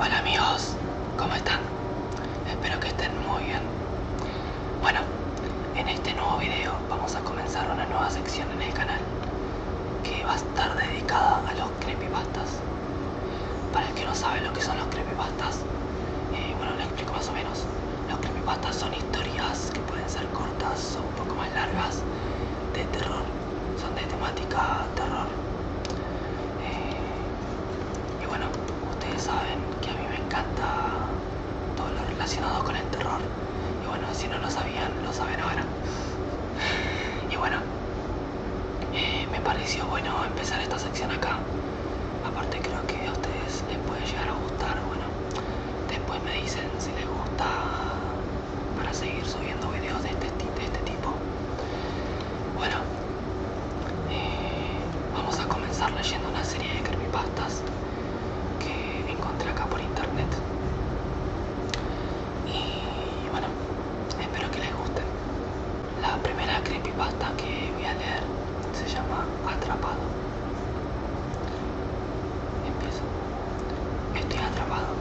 Hola amigos, ¿cómo están? Espero que estén muy bien. Bueno, en este nuevo video vamos a comenzar una nueva sección en el canal que va a estar dedicada a los creepypastas. Para el que no sabe lo que son los creepypastas, eh, bueno, les explico más o menos. Los creepypastas son historias que pueden ser cortas o un poco más largas de terror son de temática terror. Eh, y bueno, ustedes saben que a mí me encanta todo lo relacionado con el terror. Y bueno, si no lo sabían, lo saben ahora. Y bueno, eh, me pareció bueno empezar esta sección acá. Aparte creo que a ustedes les puede llegar a gustar. Bueno, después me dicen si les gusta para seguir subiendo videos de este, de este tipo. Bueno, eh, vamos a comenzar leyendo una serie de creepypastas que encontré acá por internet. Y bueno, espero que les guste La primera creepypasta que voy a leer se llama Atrapado. Empiezo. Estoy atrapado.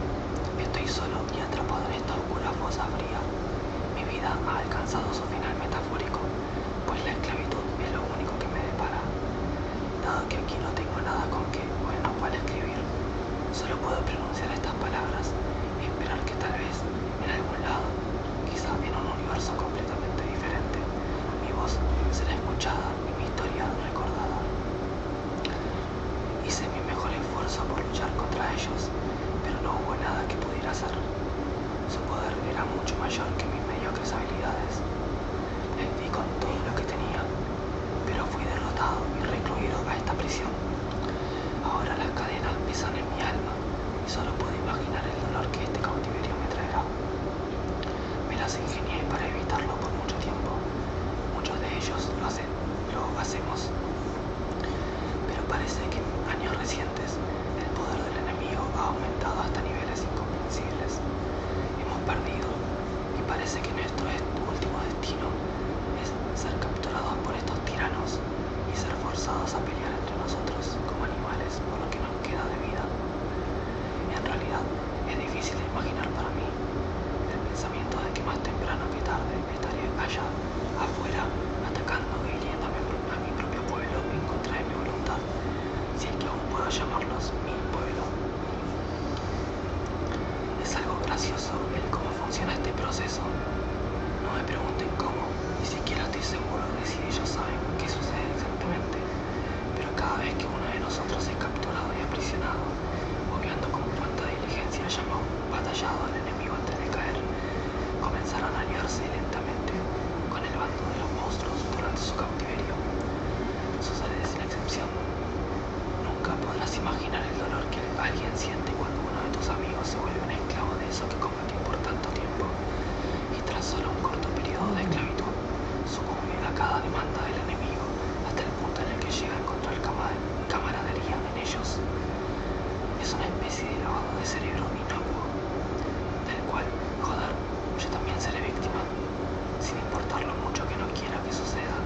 Estoy solo y atrapado en esta oscura fosa fría, mi vida ha alcanzado su final metafórico, pues la esclavitud es lo único que me depara. Dado que aquí no tengo nada con que bueno para escribir, solo puedo pronunciar estas palabras y esperar que tal vez en algún lado, quizá en un universo completamente diferente, mi voz será escuchada y mi historia recordada. Hice mi mejor esfuerzo por luchar contra ellos, pero no hubo nada que pudiera hacer. Su poder era mucho mayor que mis mediocres habilidades. Les di con todo lo que tenía, pero fui derrotado y recluido a esta prisión. Ahora las cadenas pesan en mi alma y solo puedo imaginar el dolor que este cautiverio me traerá. Me las ingenié para evitarlo por mucho tiempo. Muchos de ellos lo lo hacemos. Pero parece que en años recientes el poder del enemigo ha aumentado hasta niveles incomprensibles. Hemos perdido y parece que nuestro último destino es ser capturados por estos tiranos y ser forzados a pelear entre nosotros como animales por lo que nos queda de vida. En realidad es difícil de imaginar para mí el pensamiento de que más temprano que tarde estaría callado afuera, atacando y hiriendo a mi propio pueblo en contra de mi voluntad, si es que aún puedo llamarlos mi pueblo. Es algo gracioso el cómo funciona este proceso. No me pregunten cómo, ni siquiera estoy seguro de si ellos saben qué sucede exactamente, pero cada vez que uno de nosotros es capturado y aprisionado, obviando con cuánta diligencia llamado batallado antes de caer. Comenzaron a aliarse lentamente con el bando de los monstruos durante su cautiverio. Sucede sin excepción. Nunca podrás imaginar el dolor que alguien siente cuando uno de tus amigos se vuelve un esclavo de eso que combatió por tanto tiempo y tras solo un corto periodo de esclavitud su a cada demanda del enemigo hasta el punto en el que llega a encontrar Kamal camaradería en ellos. Es una especie de lavado de cerebro inocuo, del cual, joder, yo también seré víctima, sin importar lo mucho que no quiera que suceda.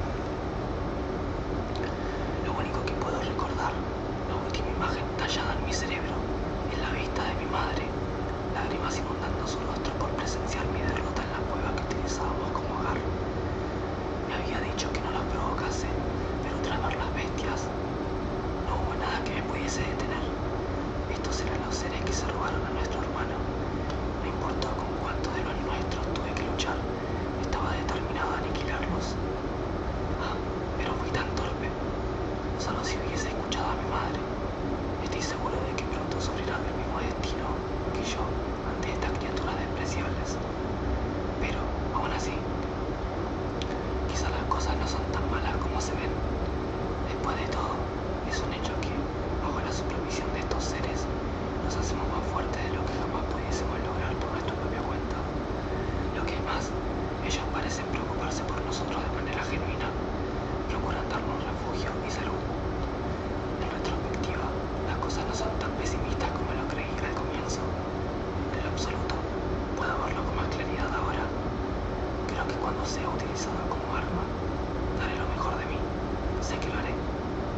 Lo único que puedo recordar, la última imagen tallada en mi cerebro, es la vista de mi madre, lágrimas inundando su rostro por presenciar mi derrota en la cueva que utilizábamos como hogar. Me había dicho que no las provocase, pero tras ver las bestias, no hubo nada que me pudiese detener. Estos eran los seres que se robaron a nuestro hermano. No importó con cuántos de los nuestros tuve que luchar, estaba determinado a aniquilarlos. Ah, pero fui tan torpe. Solo si hubiese escuchado a mi madre. Estoy seguro de que pronto sufrirá el mismo destino que yo ante estas criaturas despreciables. Pero, aún así, quizá las cosas no son tan malas como se ven. Después de todo, es un hecho que, bajo la supervisión de estos seres, nos hacemos más fuertes de lo que jamás pudiésemos lograr por nuestra propia cuenta. Lo que es más, ellos parecen preocuparse por nosotros de manera genuina, procuran darnos refugio y salud. En retrospectiva, las cosas no son tan pesimistas como lo creí al comienzo. De lo absoluto. Puedo verlo con más claridad ahora. Creo que cuando sea utilizado como arma, daré lo mejor de mí. Sé que lo haré,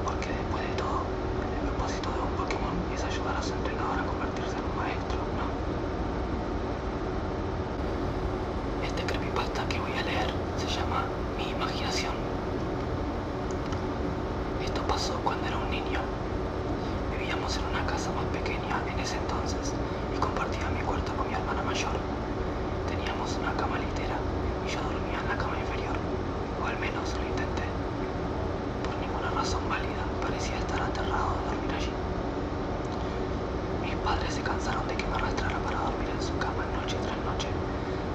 porque después de todo, el propósito de un Pokémon es ayudar a su entrenador a convertirse en un maestro, ¿no? Este creepypasta que voy a leer se llama Mi imaginación. Esto pasó cuando era un niño. Vivíamos en una casa más pequeña en ese entonces y compartía mi cuarto con mi hermana mayor. Teníamos una cama litera y yo dormía en la cama inferior, o al menos lo intenté. Por ninguna razón válida parecía estar aterrado de dormir allí. Mis padres se cansaron de que me arrastrara para dormir en su cama noche tras noche,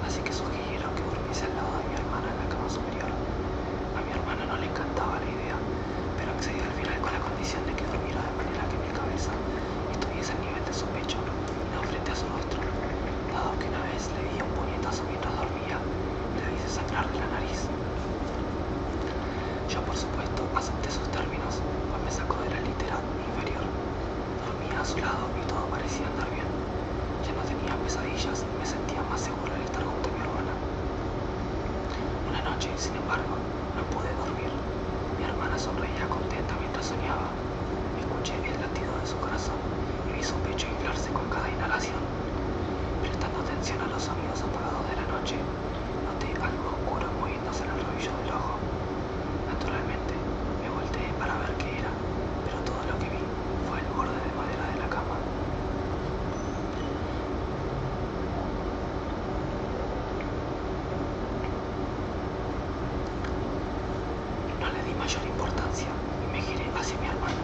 así que sugirieron que durmiese al lado de mi hermana en la cama superior. A mi hermana no le encantaba la idea, pero accedió al final con la condición de que dormiera de manera que mi cabeza estuviese al nivel de su pecho, no frente a su rostro, dado que una vez le di un puñetazo mientras dormía, le hice sangrar la nariz. Yo, por supuesto, acepté sus términos, pues me sacó de la litera inferior. Dormía a su lado y todo parecía andar bien. Ya no tenía pesadillas me sentía más seguro al estar junto a mi hermana. Una noche, sin embargo, no pude dormir. Mi hermana sonreía contenta mientras soñaba. Escuché el latido de su corazón y vi su pecho inflarse con cada inhalación. Prestando atención a los sonidos apagados de la noche, noté algo oscuro moviéndose en el rabillo del ojo. Naturalmente, me volteé para ver qué era, pero todo lo que vi fue el borde de madera de la cama. No le di mayor importancia y me giré hacia mi hermana.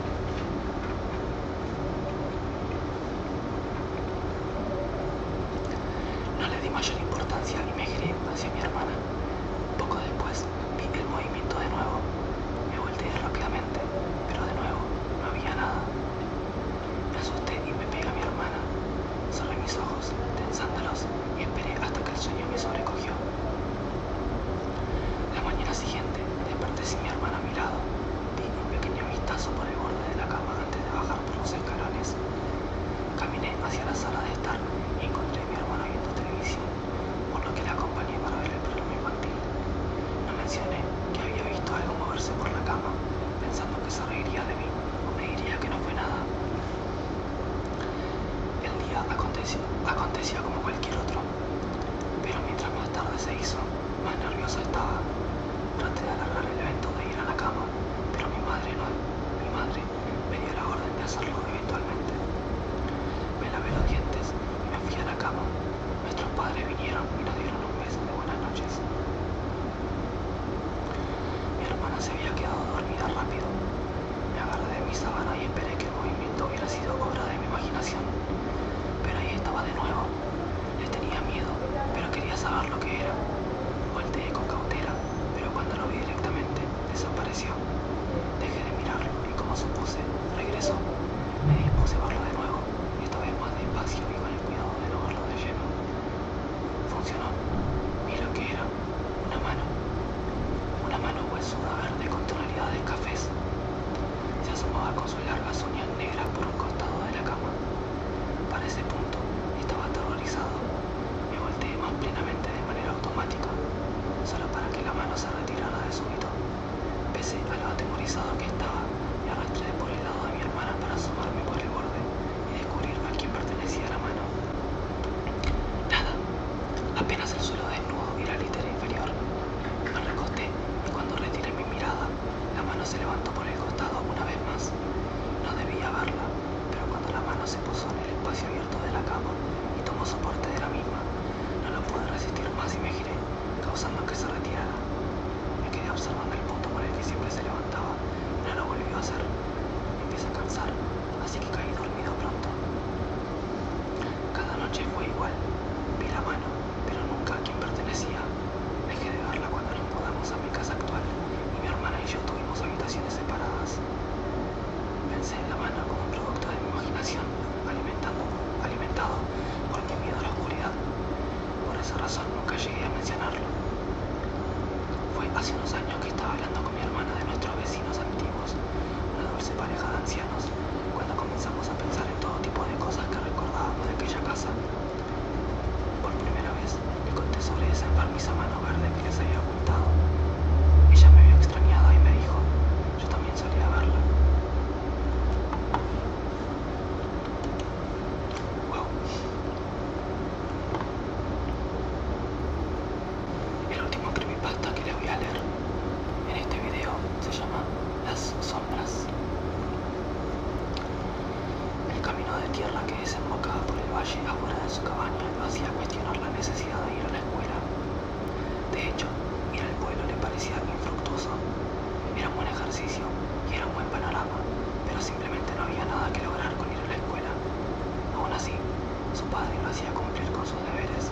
No le di mayor importancia y me giré hacia mi hermana. Poco después vi el movimiento de nuevo. Me volteé rápidamente, pero de nuevo no había nada. Me asusté y me pegué a mi hermana. Cerré mis ojos, tensándolos, y esperé hasta que el sueño me sobrecogió. La mañana siguiente, desperté sin mi hermana a mi lado. Di un pequeño vistazo por el borde de la cama antes de bajar por los escalones. Caminé hacia la sala de estar y encontré a mi hermana viendo televisión, por lo que la acompañé para ver el mismo. No mencioné que había visto algo moverse por la cama, pensando que se reiría de mí o me diría que no fue nada. El día aconteció, acontecía como cualquier otro, pero mientras más tarde se hizo, más nerviosa estaba. Traté de agarrar el evento de ir a la cama, pero mi madre no, mi madre me dio la orden de hacerlo eventualmente. Me lavé los dientes y me fui a la cama. Nuestros padres vinieron y nos dieron un beso de buenas noches. Mi hermana se había quedado dormida rápido. Me agarré de mi sábana y esperé que el movimiento hubiera sido obra de mi imaginación. Pero ahí estaba de nuevo. Le tenía miedo, pero quería saber lo que era. Volteé con cautela, pero cuando lo vi directamente, desapareció. Dejé de mirarlo y como supuse, regresó. Me dispuse a verlo de nuevo esta vez más despacio y con el cuidado de no verlo de lleno. Funcionó. Vi lo que era. Una mano. Una mano huesuda verde con tonalidad de cafés. Se asomaba con sus largas uñas negras por un costado de la cama. Para ese punto estaba aterrorizado. Me volteé más plenamente de manera automática, solo para que la mano se retirara de súbito. Pese a lo atemorizado que estaba, me arrastré por el lado de mi hermana para asomarme por el borde y descubrir a quién pertenecía la mano. Nada, apenas el suelo desnudo y la litera inferior. Me recosté y cuando retiré mi mirada, la mano se levantó por el costado una vez más. No debía verla, pero cuando la mano se posó en el espacio abierto de la cama y tomó soporte de la misma, no la pude resistir más y me giré causando que se retirara. Me quedé observando el punto por el que siempre se levantaba, pero no lo volvió a hacer. empecé a cansar, así que caí dormido pronto. Cada noche fue igual. Vi la mano, pero nunca a quien pertenecía. Dejé de verla cuando nos mudamos a mi casa actual y mi hermana y yo tuvimos habitaciones separadas. Pensé en la mano como producto de mi imaginación, alimentado por mi miedo a la oscuridad. Por esa razón nunca llegué a mencionarlo. Fue hace unos años que estaba hablando con mi hermana de nuestros vecinos antiguos, una dulce pareja de ancianos, cuando comenzamos a pensar en todo tipo de cosas que recordábamos de aquella casa. Por primera vez le conté sobre esa enfermiza mano verde que les había ocultado. Ella me vio extrañada y me dijo, yo también solía verla. El último creepypasta que les voy a leer en este video se llama Las sombras. El camino de tierra que desembocaba por el valle afuera de su cabaña lo hacía cuestionar la necesidad de ir a la escuela. De hecho, ir al pueblo le parecía infructuoso, era un buen ejercicio y era un buen panorama, pero simplemente no había nada que lograr con ir a la escuela. Aún así, su padre lo hacía cumplir con sus deberes,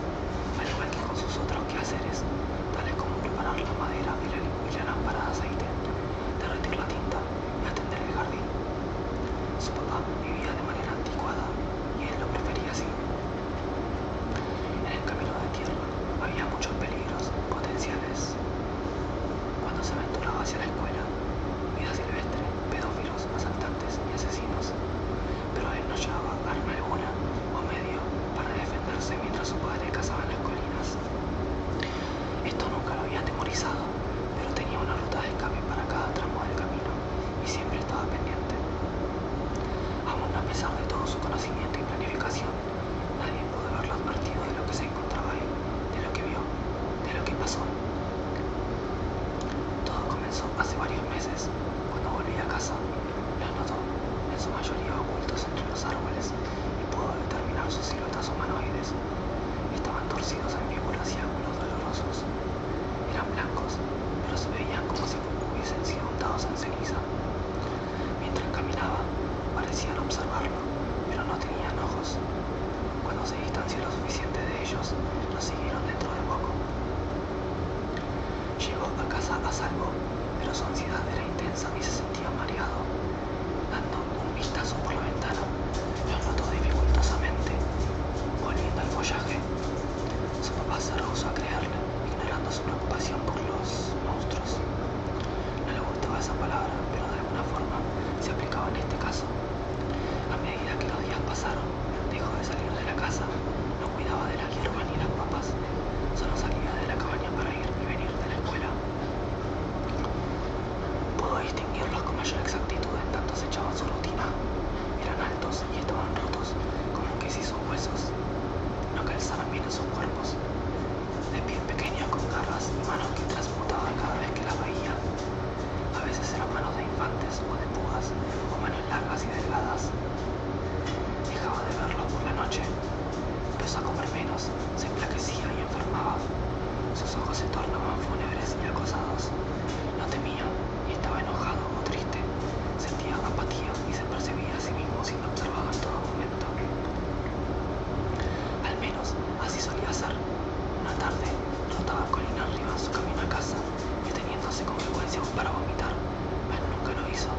al igual que con sus otros quehaceres, tales como preparar la madera y la, y la lámpara de aceite, derretir la tinta y atender el jardín. Su papá vivía de manera anticuada y él lo prefería así. En el camino de tierra había muchos peligros potenciales. Cuando se aventuraba hacia la escuela, vida silvestre, pedófilos, asaltantes y asesinos, pero él no llevaba arma alguna o medio para defenderse mientras su padre cazaba en las colinas. Esto nunca lo había atemorizado, pero tenía una ruta de escape para cada tramo del camino y siempre estaba pendiente. Aún a pesar de todo su conocimiento y planificación, Nadie pudo ver los partidos de lo que se encontraba ahí, de lo que vio, de lo que pasó. Todo comenzó hace varios meses, cuando volví a casa. Los notó, en su mayoría ocultos entre los árboles, y pudo determinar sus siluetas humanoides. Estaban torcidos en víboras y ángulos dolorosos. Eran blancos, pero se veían como si hubiesen sido untados en ceniza. Mientras caminaba, parecían observarlo, pero no tenían ojos. Cuando se distanció lo suficiente de ellos, lo siguieron dentro de poco. Llegó a casa a salvo, pero su ansiedad era intensa y se sentía mareado. Dando un vistazo por la ventana, lo notó dificultosamente, volviendo al follaje. Su papá se rehusó a creerle, ignorando su preocupación por los monstruos gustaba esa palabra, pero de alguna forma se aplicaba en este caso. A medida que los días pasaron, dejó de salir de la casa, no cuidaba de la hierbas ni las papas, solo salía de la cabaña para ir y venir de la escuela. Pudo distinguirlos con mayor exactitud en tanto se echaban su rutina. Eran altos y estaban rotos, como que si sus huesos no calzaran bien sus cuerpos de piel pequeña, con garras y manos que trasmutaban cada vez que las veía. A veces eran manos de infantes o de pujas, o manos largas y delgadas. Dejaba de verlos por la noche. Empezó a comer menos, se enflaquecía y enfermaba. Sus ojos se tornaban fúnebres y acosados. No temía y estaba enojado o triste. Sentía apatía y se percibía a sí mismo siendo observado en todo momento. Al menos así solía ser. Una tarde, trotaba colina arriba su camino a casa, deteniéndose con frecuencia para vomitar, pero nunca lo hizo.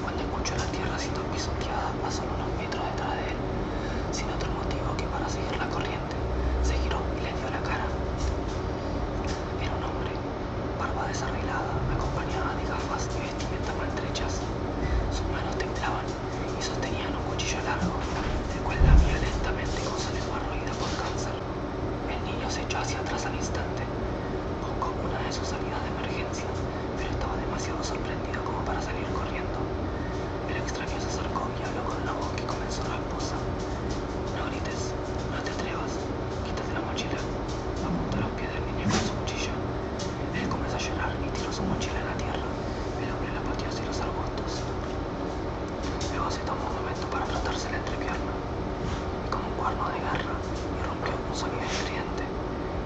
Cuando escuchó la tierra siendo pisoteada a unos metros detrás de él, sin otro motivo que para seguir la corriente, se giró y le dio la cara. Era un hombre, barba desarreglada, acompañada de gafas y vestimenta maltrechas. Sus manos temblaban y sostenían un cuchillo largo, el cual violentamente lentamente con su lengua roída por cáncer. El niño se echó hacia atrás al instante. Buscó una de sus salidas de emergencia, pero estaba demasiado sorprendido como para salir corriendo. El extraño se acercó y habló con una voz que comenzó rasposa. No grites, no te atrevas, quítate la mochila. Apuntó los pies del niño con su cuchillo. Él comenzó a llorar y tiró su mochila en la tierra. El hombre la pateó hacia los arbustos. Luego se tomó un momento para frotarse la entrepierna. Y como un cuerno de garra, irrumpió un sonido estridente.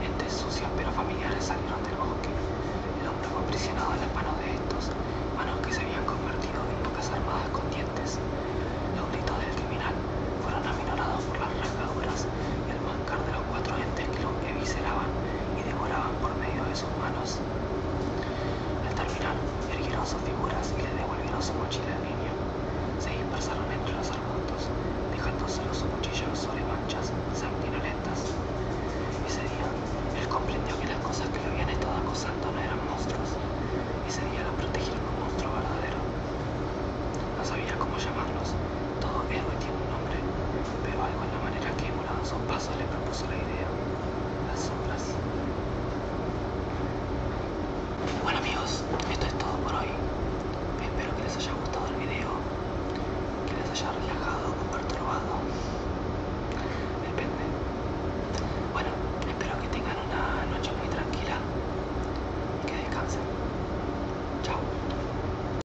Gentes sucias pero familiares salieron del bosque. El hombre fue aprisionado en las manos de estos, manos que se habían convertido en pocas armadas con dientes. Los gritos del criminal fueron aminorados por las rasgaduras y el mancar de cuatro gentes que lo evisceraban y devoraban por medio de sus manos. Al terminar, erguieron sus figuras y le devolvieron su mochila al niño. Se dispersaron entre los arbustos, dejándose su sobre manchas sanguinolentas. Ese día, él comprendió que las cosas que lo habían estado acosando no eran monstruos. Ese día lo protegieron un monstruo verdadero. No sabía cómo llamarlos. Todo héroe tiene un nombre, pero algo en la manera que emulaban sus pasos le propuso la idea. Las sombras. Bueno amigos, esto es todo por hoy. Espero que les haya gustado el video, que les haya relajado o perturbado. Depende. Bueno, espero que tengan una noche muy tranquila. Que descansen. Chao.